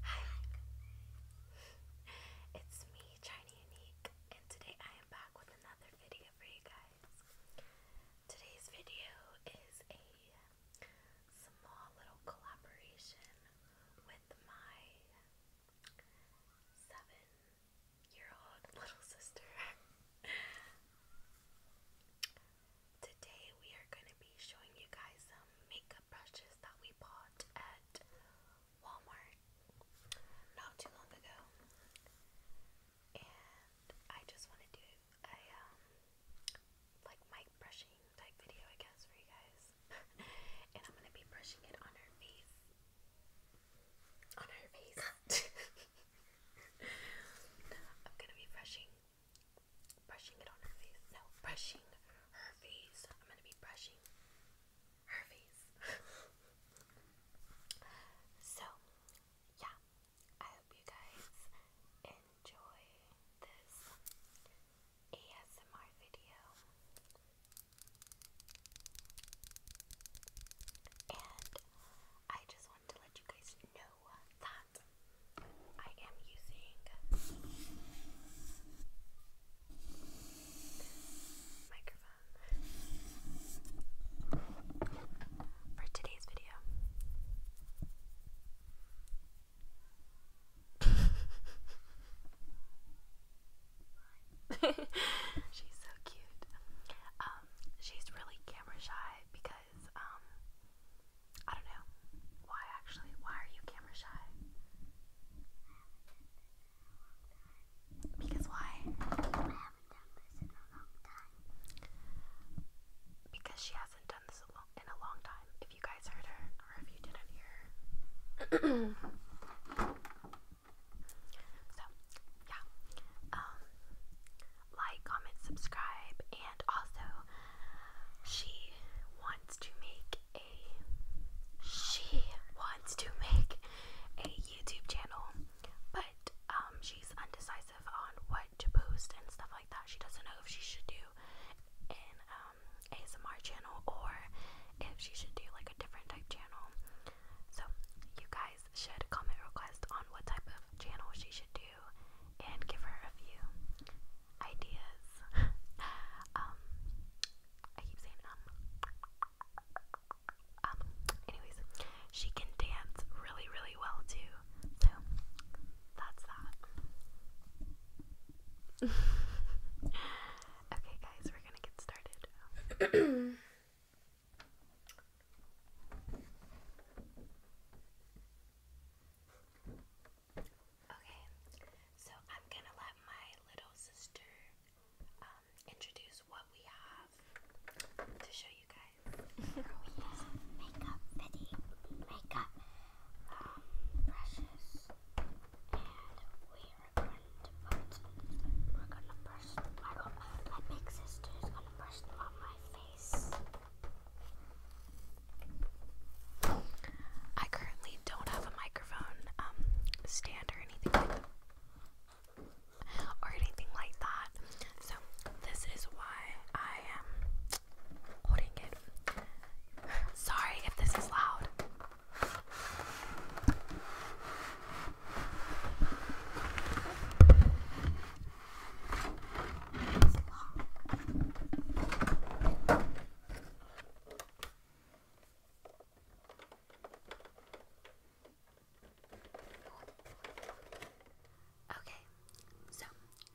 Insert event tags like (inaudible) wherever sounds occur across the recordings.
Hi, (laughs) it's me, Shiny Unique, and today I am back with another video for you guys. Today's video is a small little collaboration with my seven-year-old (laughs) little sister. Today we are going to be showing you guys some makeup brushes that we bought at Walmart not too long ago. And I just want to do a um like mic brushing type video I guess for you guys. (laughs) and I'm going to be brushing it on her face. On her face. (laughs) I'm going to be brushing brushing it on her face. No, brushing her face. I'm gonna be brushing her face. (laughs) so, yeah, I hope you guys enjoy this ASMR video. And I just wanted to let you guys know that I am using this microphone for today's video. (laughs) she's so cute. Um, she's really camera shy because um I don't know. Why actually? Why are you camera shy? Because why? Because she hasn't done this in a long time. If you guys heard her, or if you did hear (clears throat) so, yeah. Um, like, comment, subscribe, also she wants to make a she wants to make a YouTube channel, but um, she's undecisive on what to post and stuff like that. She doesn't know if she should do an um, ASMR channel or if she should do like a different type channel. So you guys should comment request on what type of channel she should do and give her a view ideas. (laughs) um, I keep saying um. Um, anyways, she can dance really, really well too. So that's that. (laughs) okay, guys, we're gonna get started. Okay, so I'm gonna let my little sister um, introduce what we have to show you guys. (laughs) we use makeup fitting, makeup um, brushes, and we are going to put, we're gonna brush, my, my big sister is gonna brush on my face. I currently don't have a microphone um, stand or anything Or anything like that. So, this is why I am holding it. Sorry if this is loud. Okay, so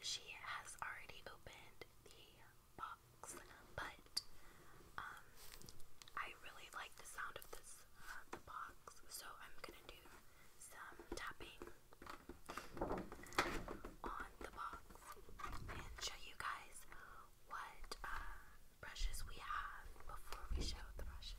she has already opened the box, but um, I really like the sound of this uh, box, so I'm gonna do some tapping on the box and show you guys what uh, brushes we have before we show the brushes.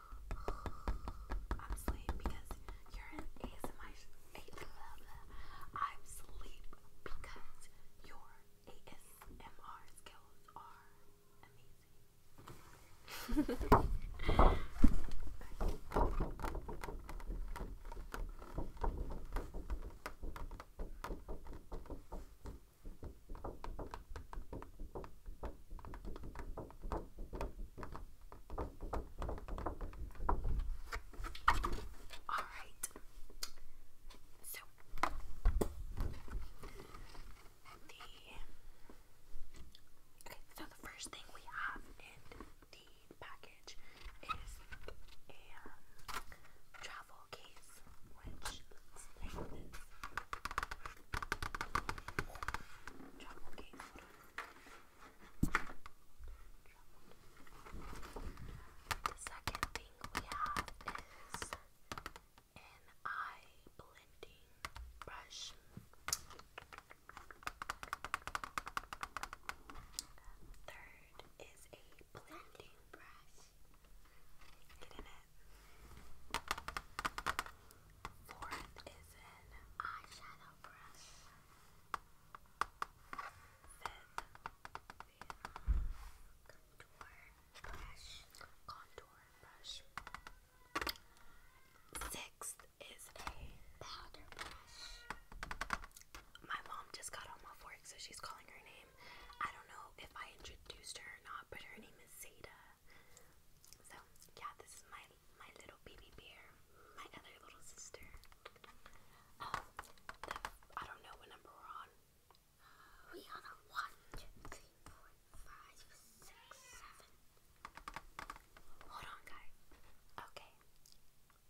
I'm sleep because you're an ASMR. I'm sleep because your ASMR skills are amazing. (laughs) Alright. So the Okay, so the first thing we have in the package is a um, travel case, which looks like this. Travel case. The second thing we have is an eye blending brush. Third is a blending brush. Get it. Fourth is an eyeshadow Sixth is a powder brush. My mom just got off work, so she's calling her name. I don't know if I introduced her or not, but her name is Zeta. So yeah, this is my my little baby bear, my other little sister. Oh, I don't know what number we're on. We are on one, two, three, four, five, six, seven. Hold on, guys. Okay,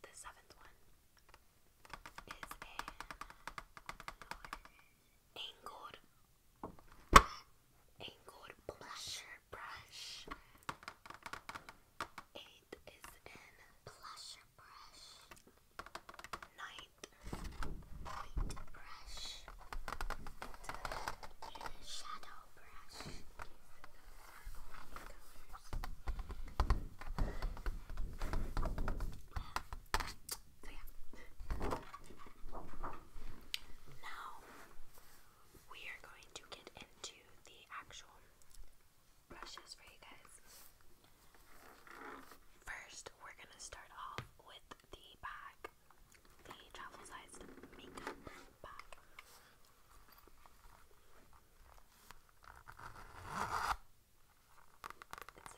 the seventh one is an angled angled blusher brush. Eight is in blusher brush. Ninth, white brush. shadow brush. So yeah. Now we are going to get into the actual brushes for you guys. First, we're going to start off with the bag, the travel sized makeup bag.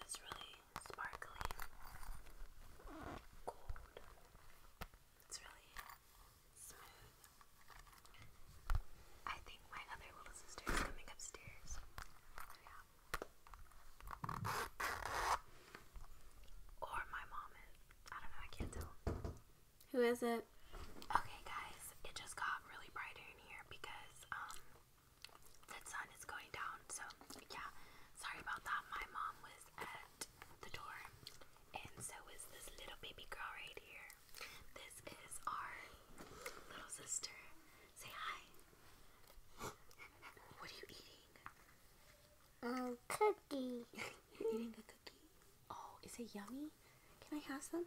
It's this really sparkly gold it's really smooth. I think my other little sister is coming upstairs. Or my mom is. I don't know, I can't tell. Who is it? Okay, guys, it just got really brighter in here because um the sun is going down. So, yeah, sorry about that. My mom was the door, and so is this little baby girl right here. This is our little sister. Say hi. What are you eating? A um, cookie. (laughs) You're eating a cookie? Oh, is it yummy? Can I have some?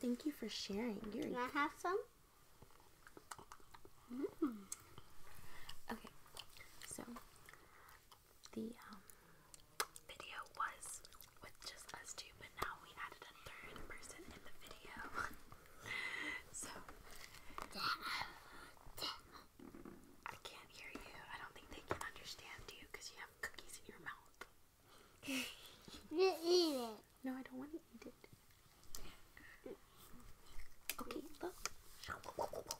Thank you for sharing. You're Can I have some? Mm. Okay, so the um, video was with just us two, but now we added a third person in the video. (laughs) so, I can't hear you. I don't think they can understand you because you have cookies in your mouth. You eat it. No, I don't want to eat it. Okay, look.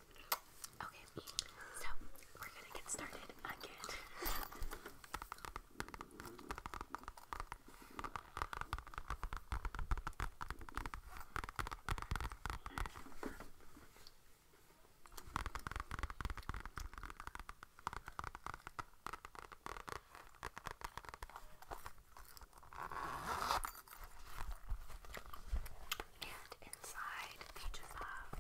Okay, so we're gonna get started again and inside they just have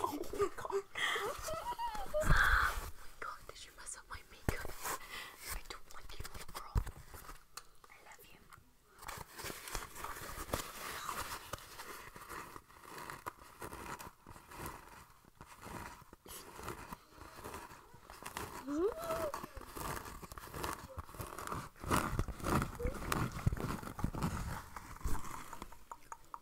oh my god oh my god, did you mess up my makeup? I don't like you, little girl. I love you.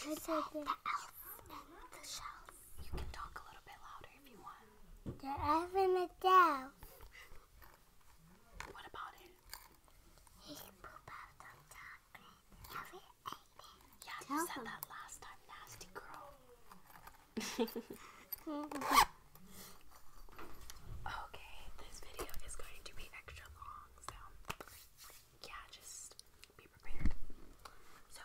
the elf in the shelf. You can talk a little bit louder if you want. The elf in the shelf. What about it? He pooped out chocolate. Yeah, you said that last time, nasty girl. (laughs) (laughs) okay, this video is going to be extra long, so yeah, just be prepared. So,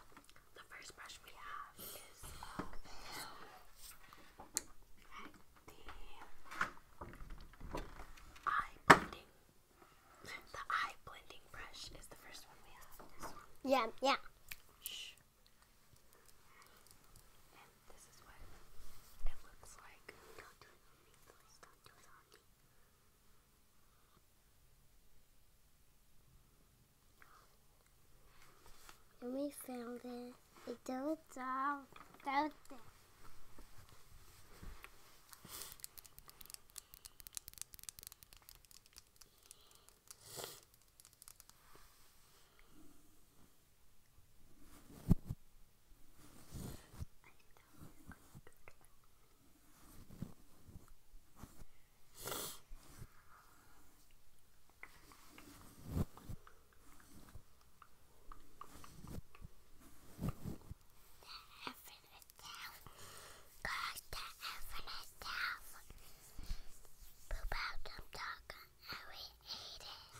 the first brush we have is uh, the eye blending. The eye blending brush is the first one we have. Yeah, yeah. And we found it. It does all about there. Gosh, the heaven itself. Poop out some dog and we eat it.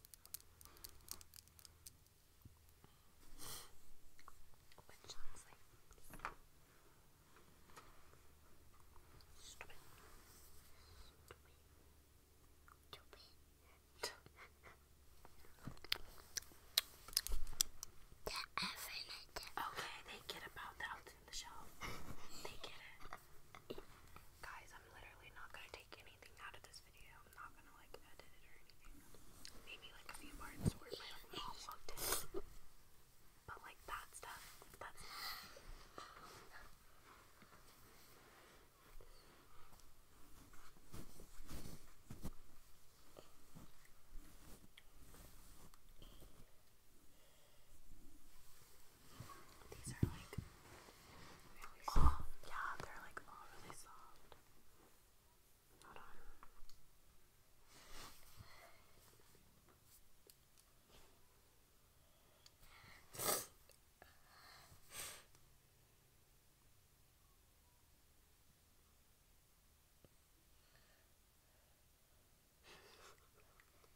Which looks okay, they get about the in the shelf. They get it. Guys, I'm literally not gonna take anything out of this video. I'm not gonna like edit it or anything. Maybe like a few parts where my like, mom walked in. But like that stuff, that's these are like really soft. Oh, yeah, they're like all really soft. Hold on.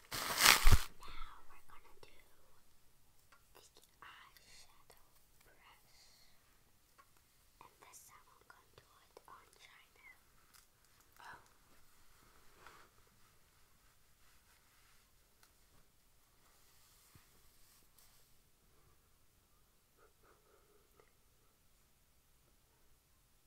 Now we're gonna do the eyeshadow brush. And this time I'm gonna do it on China.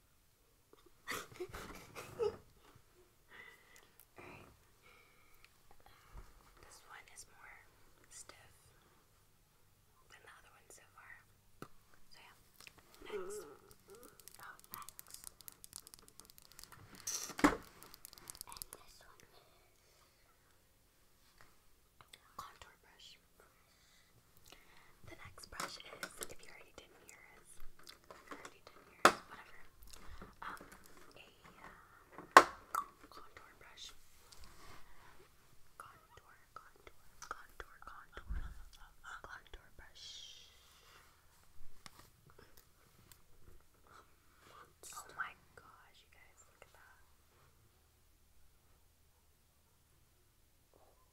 Alright. Um, this one is more stiff than the other one so far. So yeah. Next. Mm. Oh, next. And this one is contour brush. The next brush is, if you already didn't hear us, already didn't hear whatever, um, a uh, contour brush. Contour, contour, contour, contour, contour brush. Oh my gosh, you guys, look at that.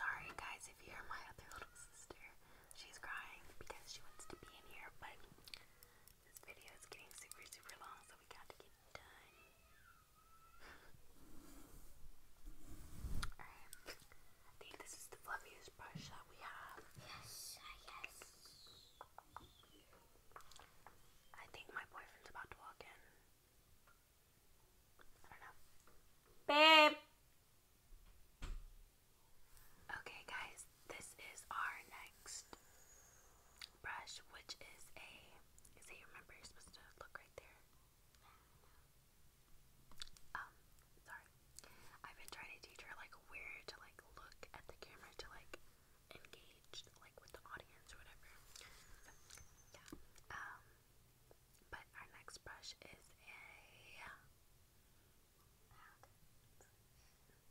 Sorry guys if you hear my other little sister. She's crying because she wants to be in here, but this video is getting super, super long, so we got to get done. Alright. I think this is the fluffiest brush that we have. Yes, yes. I think my boyfriend's about to walk in. I don't know. Babe! Okay, guys, this is our next brush, which is a. See, remember you're supposed to look right there. Um, sorry. I've been trying to teach her like where to like look at the camera to like engage like with the audience or whatever. yeah. Um, but our next brush is a.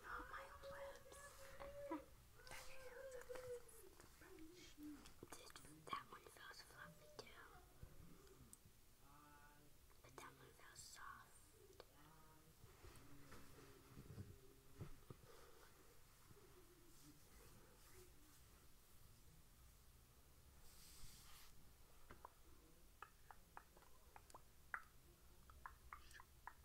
Not my lips. okay, let's look at this brush. Dude, that one feels fluffy too. But that one feels soft. Okay,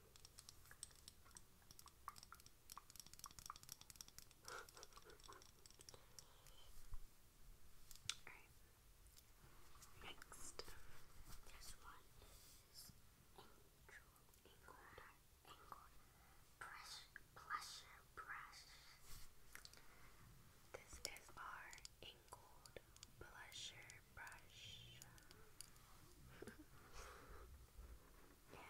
Alright. Next, this one is Angel Angled Angled Brush Blusher Brush. This is our angled blusher brush. and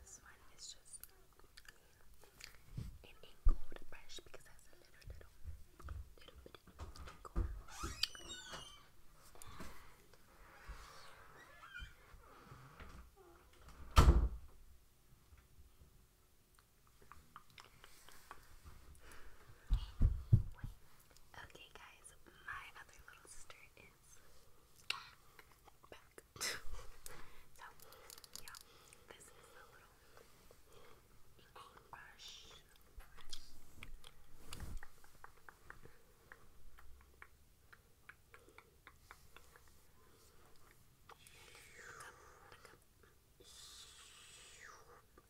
this one is just an angled brush because it a little, little, little bit of Okay, guys, my other little sister is back. back. (laughs) so, yeah, this is a little ink brush. Look up, look up.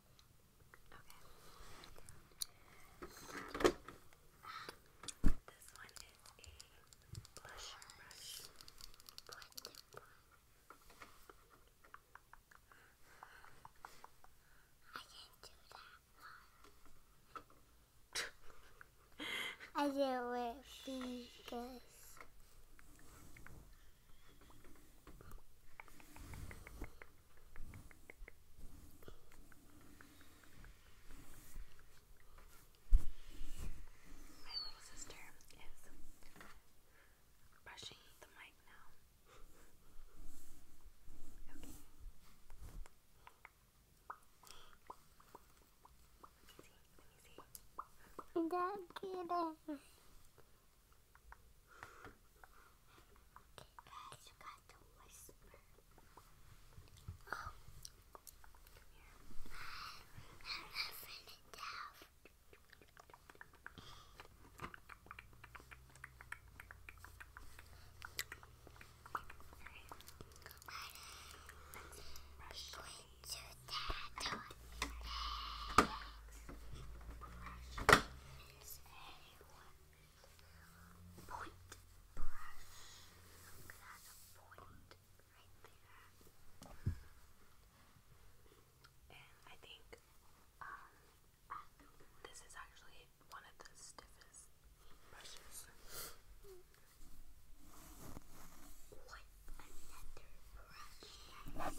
Okay. this one is a blush brush. I didn't do that one. I did it because. My little sister is brushing the mic now. Okay. Let me see. Let me see. Okay, guys, you got the whisper. Oh, here. I'm laughing it down. Brush. Going to that one. Brush. anyone Point brush. Look at that point right there. And I think um, this is actually one of the stiffest brushes. What another brush?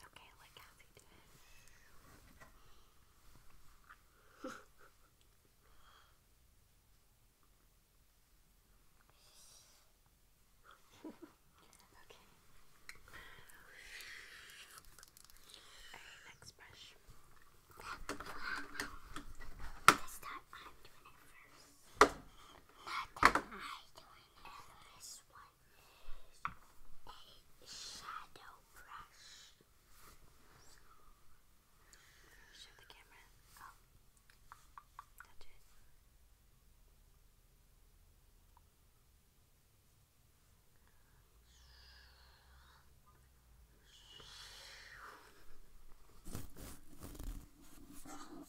Okay, let Cassie do it. okay. Alright, next brush. This time I'm doing it first. Not that i doing it. This one a shadow brush. Show the camera. Oh. Touch it.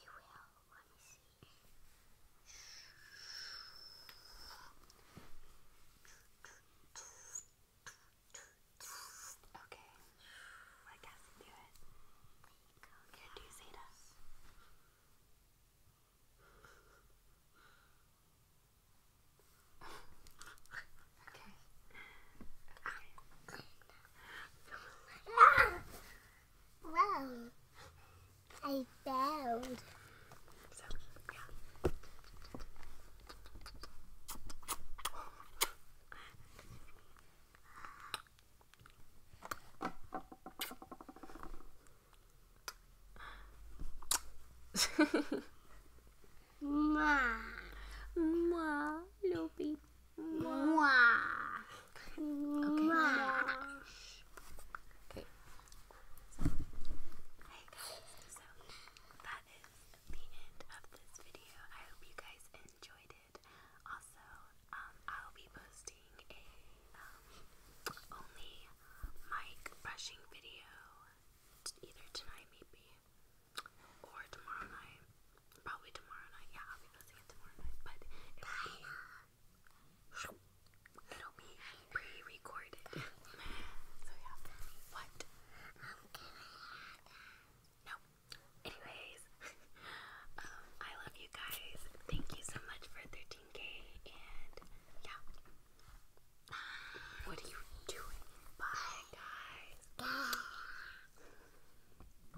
You will. Let me see. Okay. I guess do it. Can do Zeta. okay. Okay. Wow. I failed. So, yeah. little baby. Okay. Okay. so that is the end of this video. I hope you guys enjoyed it. Also, um, I'll be posting a only mic brushing video either tonight maybe or tomorrow night. Probably tomorrow night. Yeah, I'll be posting it tomorrow night. But it'll be, pre-recorded. (laughs) so yeah. What? No. Anyways, (laughs) um, I love you guys. Thank you so much for 13k and yeah. What are you doing? Bye guys.